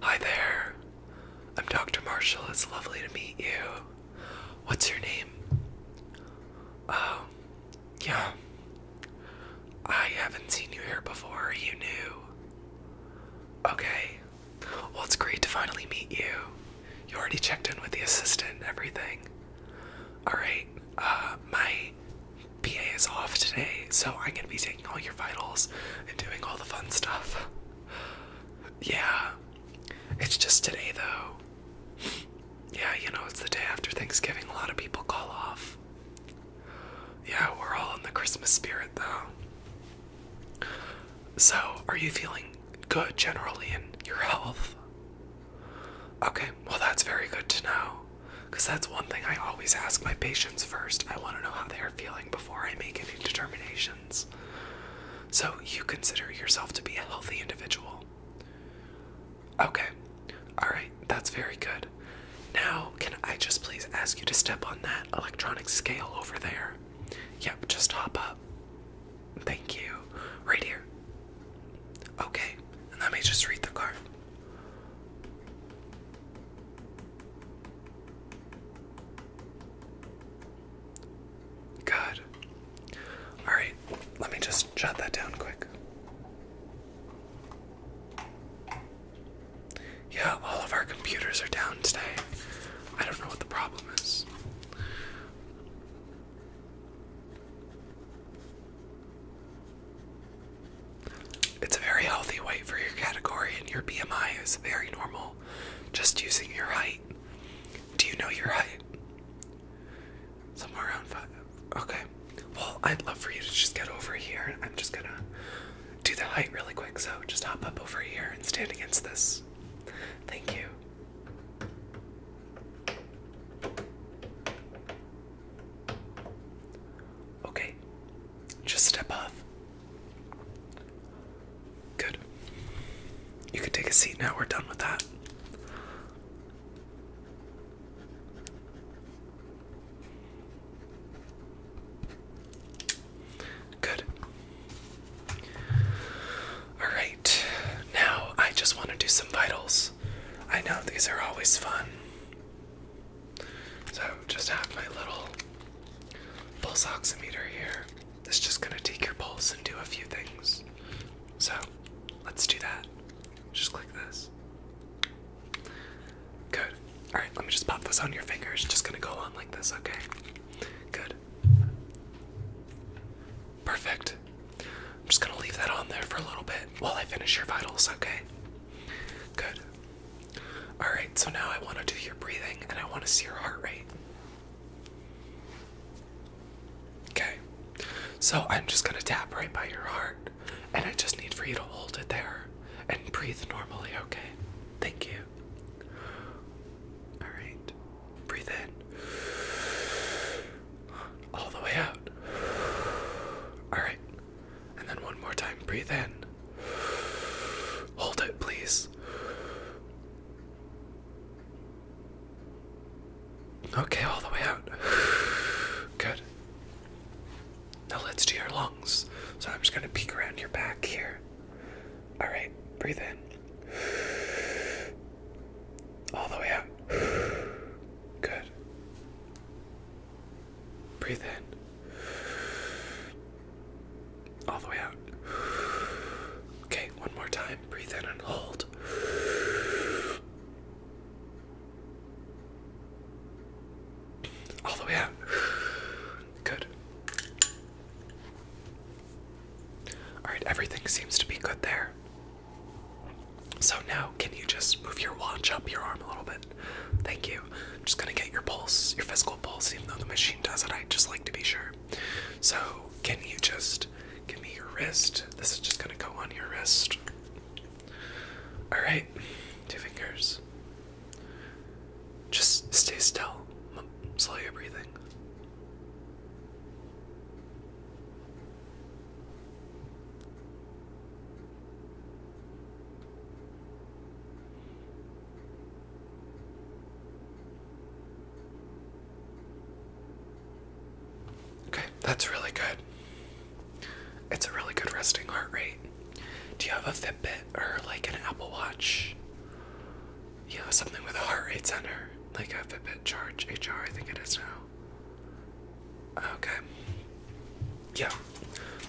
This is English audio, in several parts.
Hi there. I'm Dr. Marshall. It's lovely to meet you. What's your name? Oh, yeah. I haven't seen you here before. you knew? Okay. Well, it's great to finally meet you. You already checked in with the assistant everything. Alright, uh, my PA is off today, so I'm gonna be taking all your vitals and doing all the fun stuff. Yeah. It's just today, though. Yeah, you know, it's the day after Thanksgiving. A lot of people call off. Yeah, we're all in the Christmas spirit, though. So, are you feeling good generally in your health? Okay, well, that's very good to know. Because that's one thing I always ask my patients first. I want to know how they are feeling before I make any determinations. So you consider yourself to be a healthy individual. Okay, alright, that's very good. Now, can I just please ask you to step on that electronic scale over there? Yep, just hop up. Thank you. Right here. Okay, and let me just read the card. Good. All right, let me just jot that down quick. Yeah, all of our computers are down today. I don't know what the problem is. It's a very healthy weight for your category, and your BMI is very normal just using your height. Do you know your height? Somewhere around five. Okay. Well, I'd love for you to just get over here. I'm just gonna do the height really quick, so just hop up over here and stand against this. Thank you. Okay. Just step off. Good. You can take a seat now. We're done with that. Good. All right. Now I just want to do some vitals. I know these are always fun. So just have my little pulse oximeter here. It's just gonna take your pulse and do a few things. So let's do that. Just click this. Good. Alright, let me just pop this on your fingers. Just gonna go on like this, okay? Good. Perfect. I'm just gonna leave that on there for a little bit while I finish your vitals, okay? Good. Alright, so now I want to do your breathing and I want to see your heart rate. Okay, so I'm just going to tap right by your heart and I just need for you to hold it there and breathe normally, okay? Thank you. Alright, breathe in. All the way out. Alright, and then one more time, breathe in. Hold it, please. Okay, all the way out. Good. Now let's do your lungs. So I'm just going to peek around your back here. All right, breathe in. All the way out. Good. Breathe in. All the way out. Okay, one more time. Breathe in and hold. All the way out. Good. Alright, everything seems to be good there. So now, can you just move your watch up your arm a little bit? Thank you. just gonna get your pulse, your physical pulse, even though the machine does it. I just like to be sure. So, can you just give me your wrist? This is just gonna go on your wrist. Alright, two fingers. Just stay still. Slow your breathing. Okay, that's really good. It's a really good resting heart rate. Do you have a Fitbit or like an Apple Watch? Yeah, something with a heart rate sensor, like a Fitbit Charge HR, I think it is now. Okay. Yeah.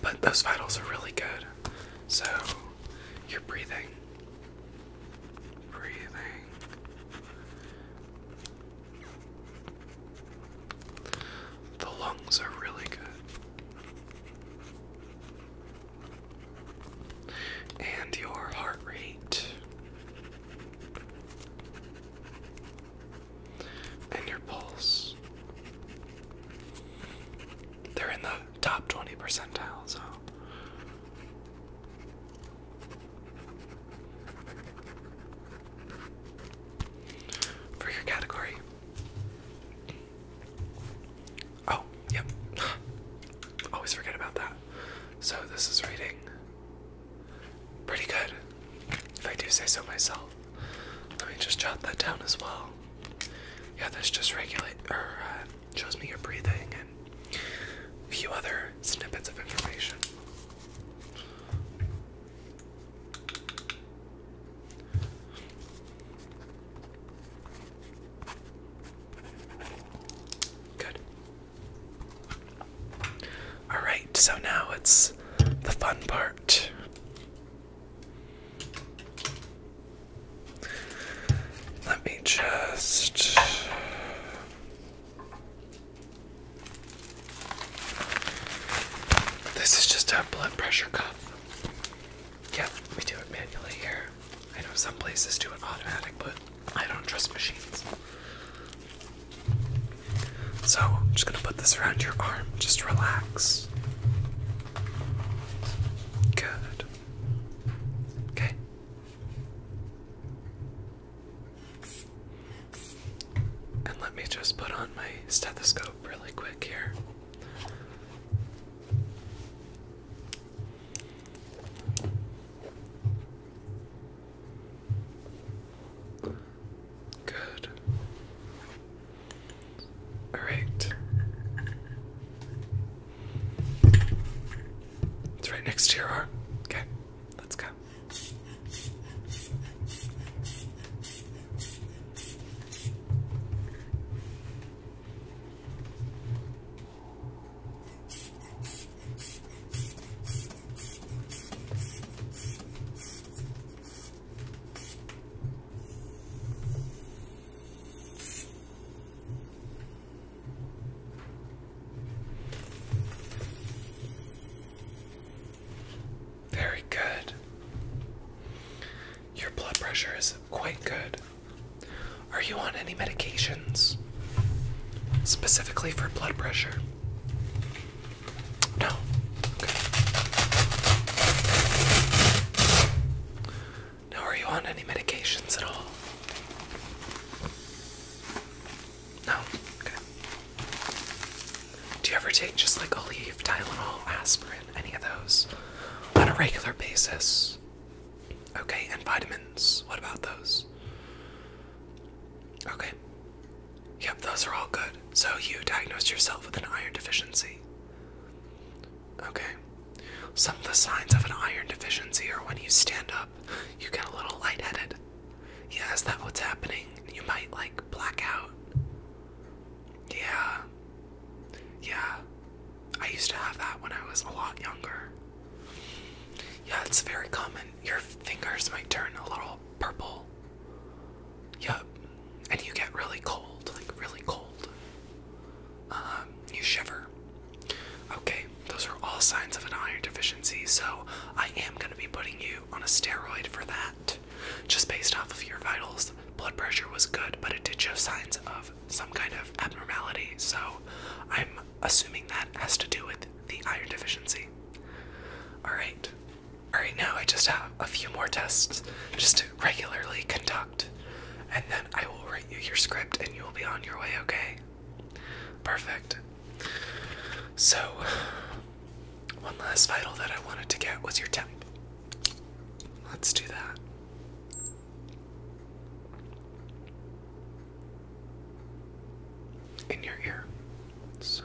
But those vitals are really good. So you're breathing. Breathing. The lungs are really good. And your heart rate and your pulse. They're in the top 20 percentile, so. For your category. Oh, yep. Always forget about that. So, this is reading pretty good, if I do say so myself well. Let me just jot that down as well. Yeah, this just regulates or uh, shows me your breathing and a few other snippets of information. Good. All right, so now it's the fun part. Let me just. This is just a blood pressure cuff. Yep, we do it manually here. I know some places do it automatic, but I don't trust machines. So, I'm just going to put this around your arm. Just relax. Good. Okay. And let me just put on my stethoscope really quick here. Good. All right. It's right next to your arm. Okay, let's go. Very good. Your blood pressure is quite good. Are you on any medications specifically for blood pressure? No. Okay. Now, are you on any medications at all? No. Okay. Do you ever take just like Aleve, Tylenol, aspirin, any of those on a regular basis? Okay, and vitamins. What about those? Okay. Yep, those are all good. So you diagnosed yourself with an iron deficiency. Okay. Some of the signs of an iron deficiency are when you stand up, you get a little lightheaded. Yeah, that's what's happening? You might like black out. Yeah. Yeah. I used to have that when I was a lot younger. Yeah, it's very common. Your fingers might turn a little purple. Yup. And you get really cold, like really cold. Um, you shiver. Okay, those are all signs of an iron deficiency, so I am going to be putting you on a steroid for that. Just based off of your vitals, blood pressure was good, but it did show signs of some kind of abnormality, so I'm assuming that has to do with the iron deficiency. Alright, Alright, now I just have a few more tests just to regularly conduct, and then I will write you your script and you will be on your way, okay? Perfect. So, one last vital that I wanted to get was your temp. Let's do that. In your ear. So.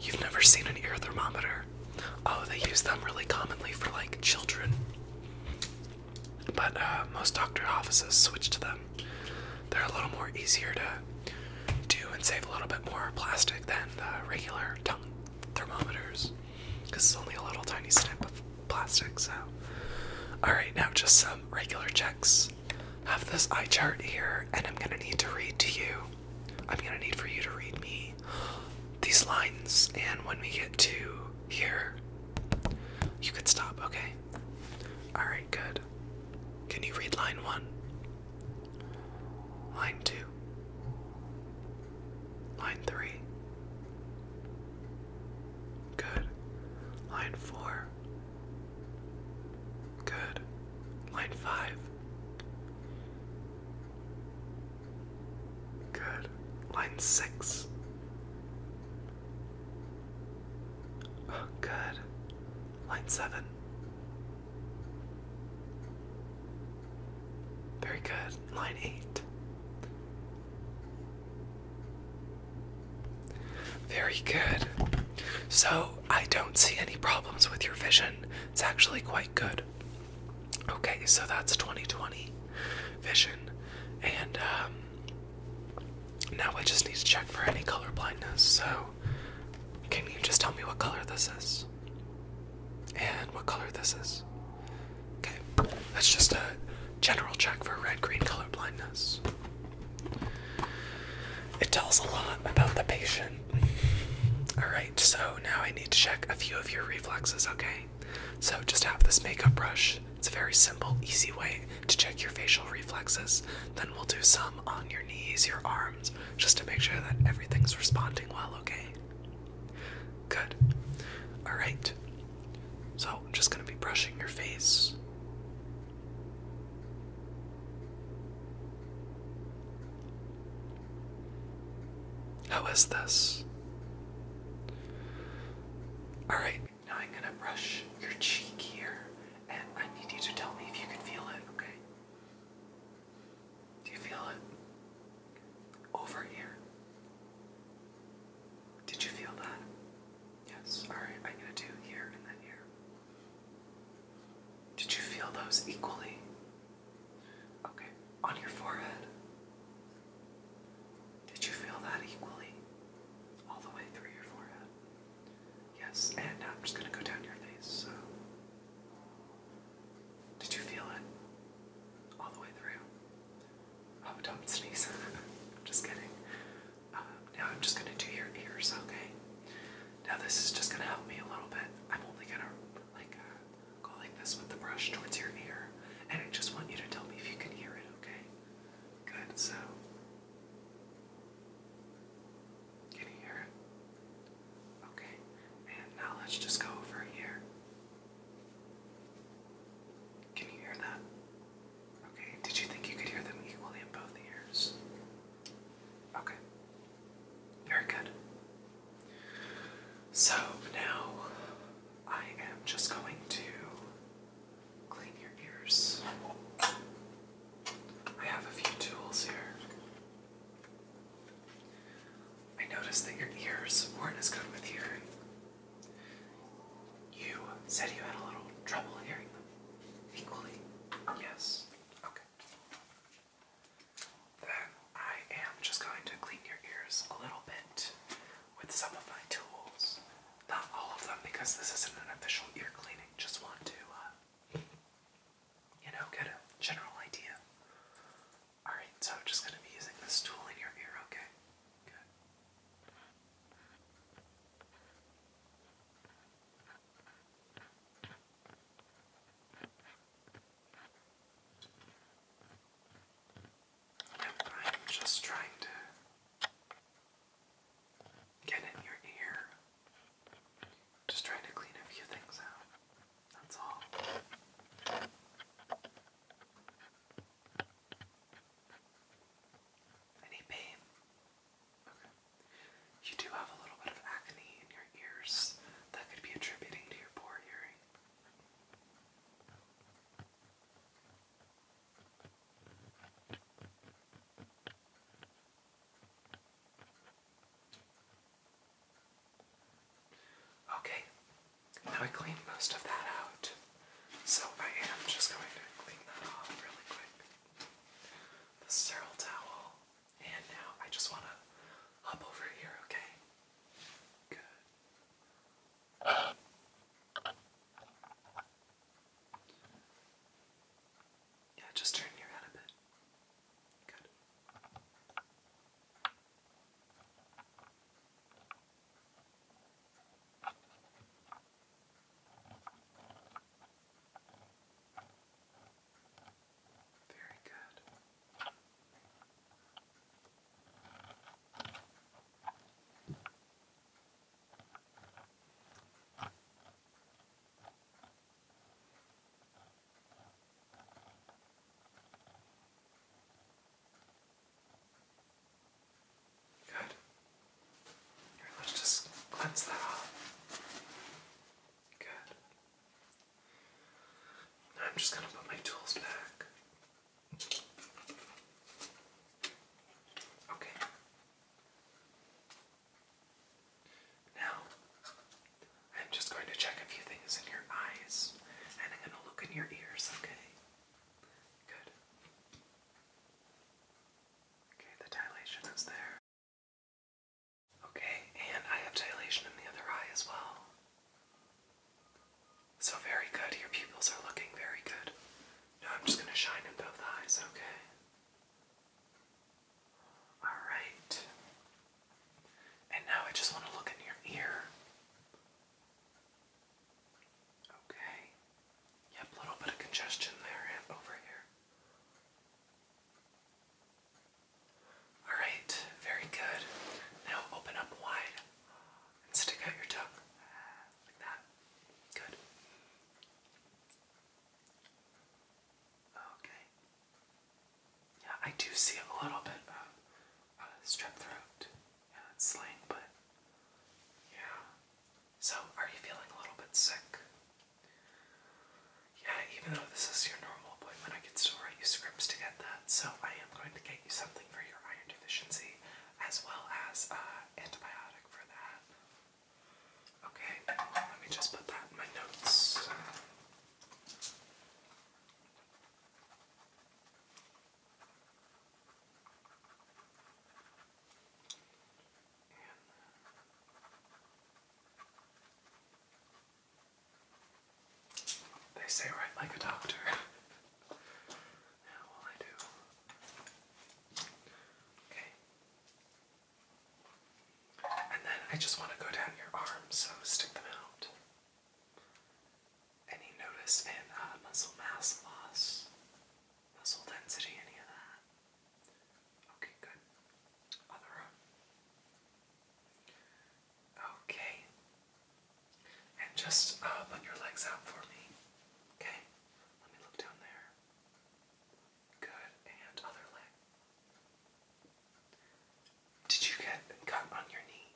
You've never seen an ear thermometer? Oh, they use them really commonly for like children. But uh, most doctor offices switch to them. They're a little more easier to do and save a little bit more plastic than the uh, regular tongue thermometers. Because it's only a little tiny snip of plastic, so. Alright, now just some regular checks. Have this eye chart here, and I'm gonna need to read to you I'm gonna need for you to read me these lines, and when we get to here, you could stop, okay? Alright, good. Can you read line one? Line two? Line three? Good. Line four? Good. Line five? Good. Line six. good. Line seven. Very good. Line eight. Very good. So, I don't see any problems with your vision. It's actually quite good Okay, so that's 2020 vision, and um, now I just need to check for any color blindness. So, can you just tell me what color this is? And what color this is? Okay, that's just a general check for red green color blindness. It tells a lot about the patient Alright, so now I need to check a few of your reflexes, okay? So just have this makeup brush. It's a very simple, easy way to check your facial reflexes. Then we'll do some on your knees, your arms, just to make sure that everything's responding well, okay? Good. Alright. So I'm just going to be brushing your face. How is this? Alright, now I'm gonna brush your cheek here, and I need you to tell me if you can feel it, okay? Do you feel it? Over here. Did you feel that? Yes. Alright, I'm gonna do here and then here. Did you feel those equally? Okay, on your forehead. Did you feel that equally? All the way through your forehead. Yes, and now I'm just going to go down your face. So. Did you feel it? All the way through? Oh, don't sneeze. I'm just kidding. Uh, now I'm just going to do your ears, okay? Now this is just gonna help me a little bit. I'm only gonna like uh, go like this with the brush towards your ear, and I just want you to tell me if you can hear it. Okay. Good. So. Can you hear it? Okay. And now let's just go over here. Can you hear that? Okay. Did you think you could hear them equally in both ears? Okay. Very good. So now I am just going to clean your ears. I have a few tools here. I noticed that your ears weren't as good with hearing. You said you had a little trouble hearing them. Equally? Yes. Okay. Then I am just going to clean your ears a little bit with some of my tools. Not all of them because this isn't an official ear cleaning. Just want to, uh, you know, get a general idea. Alright, so I'm just going to be using this tool in your ear, okay? Good. I'm just trying to get in your ear. Just trying to clean a few things out. That's all. Any pain? Okay. You do have a little bit of acne in your ears that could be attributing to your poor hearing. Okay, now I cleaned most of that out, so I am just going to clean that off really quick. The sterile towel and now I just want to hop over here, okay? Good. Yeah, just turn your head a bit. Good. Very good. Good. let's just cleanse that Good. I'm just going to put my tools back. Okay. Now, I'm just going to check a few things in your eyes and I'm going to look in your ears, okay? Good. Okay, the dilation is there. Okay, and I have dilation in the other eye as well. So, very good. Your pupils are looking very good. Now, I'm just going to shine in both eyes, okay? Alright. And now I just want to look in your ear. Okay. Yep, little bit of congestion there and over here. Alright, very good. Now open up wide and stick out your tongue like that. Good. Okay. Yeah, I do see a little bit of uh, strep throat. Yeah, it's slang, but yeah, so, are you feeling a little bit sick? Yeah, even though this is your normal appointment, I can still write you scripts to get that. So, I am going to get you something for your iron deficiency as well as uh, antibiotic for that. Okay, let me just put that in my notes they say right, like a doctor. yeah, well I do. Okay. And then I just want to go down your arms, so stick them out. Any notice in uh, muscle mass loss, muscle density, any of that? Okay, good. Other arm. Okay. And just put uh, your legs out for me. Okay. Let me look down there. Good. And other leg. Did you get cut on your knee?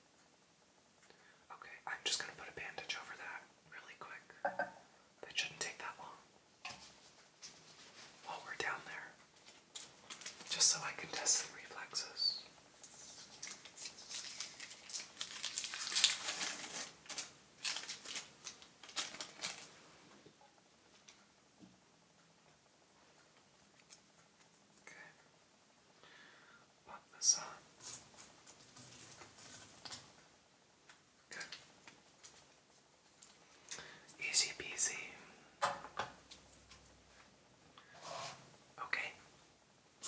Okay, I'm just gonna put a bandage over that really quick. That shouldn't take that long while we're down there, just so I can test the reflexes. Okay. Pop this on. Good. Easy peasy. Okay. I'm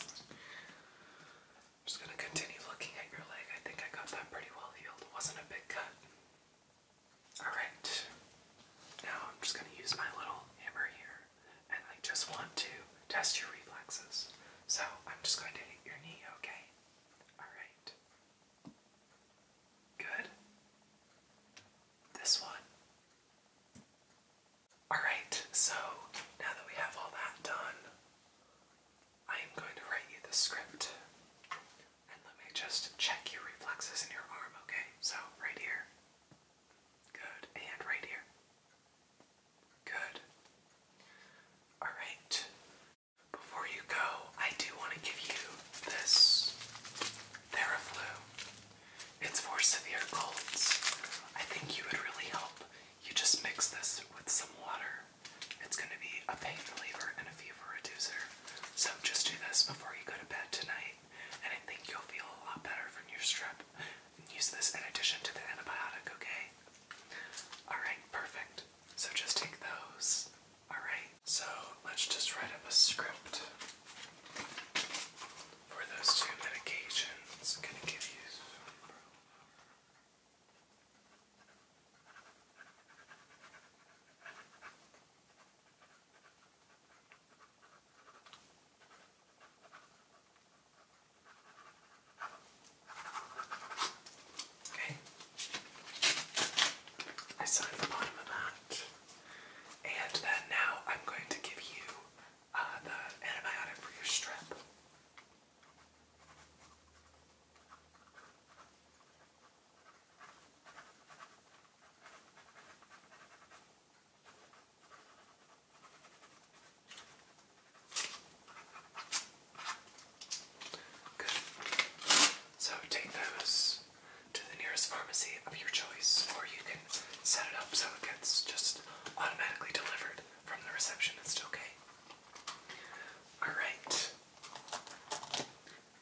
just gonna continue looking at your leg. I think I got that pretty well healed. wasn't a big cut. Alright. Now I'm just gonna use my little hammer here. And I just want to test your reflexes. So I'm just going to hit your knee, okay? Alright. Good. This one. Alright, so now that we have all that done, I am going to write you the script. And let me just check your reflexes in your arm, okay? So, right here. Good. And right here. Good. Alright. Before you go, I do want to give you this Theraflu. It's for severe colds. I think you would really help. You just mix this with some water. It's going to be a pain reliever and a fever reducer. So just do this before you go to bed tonight, and I think you'll feel a lot better from your strep. use this in addition to the antibiotic, okay? Alright, perfect. So just take those. Alright, so let's just write up a script for those two medications. Gonna give you. Okay. I signed the bottom of that. And then now I'm going to give you uh, the antibiotic for your strep. So take those to the nearest pharmacy of your choice, or you can set it up so it gets just automatically delivered from the receptionist, okay? Alright.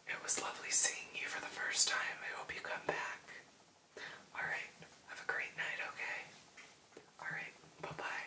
It was lovely seeing you for the first time. I hope you come back. Alright, have a great night, okay? Alright, bye bye.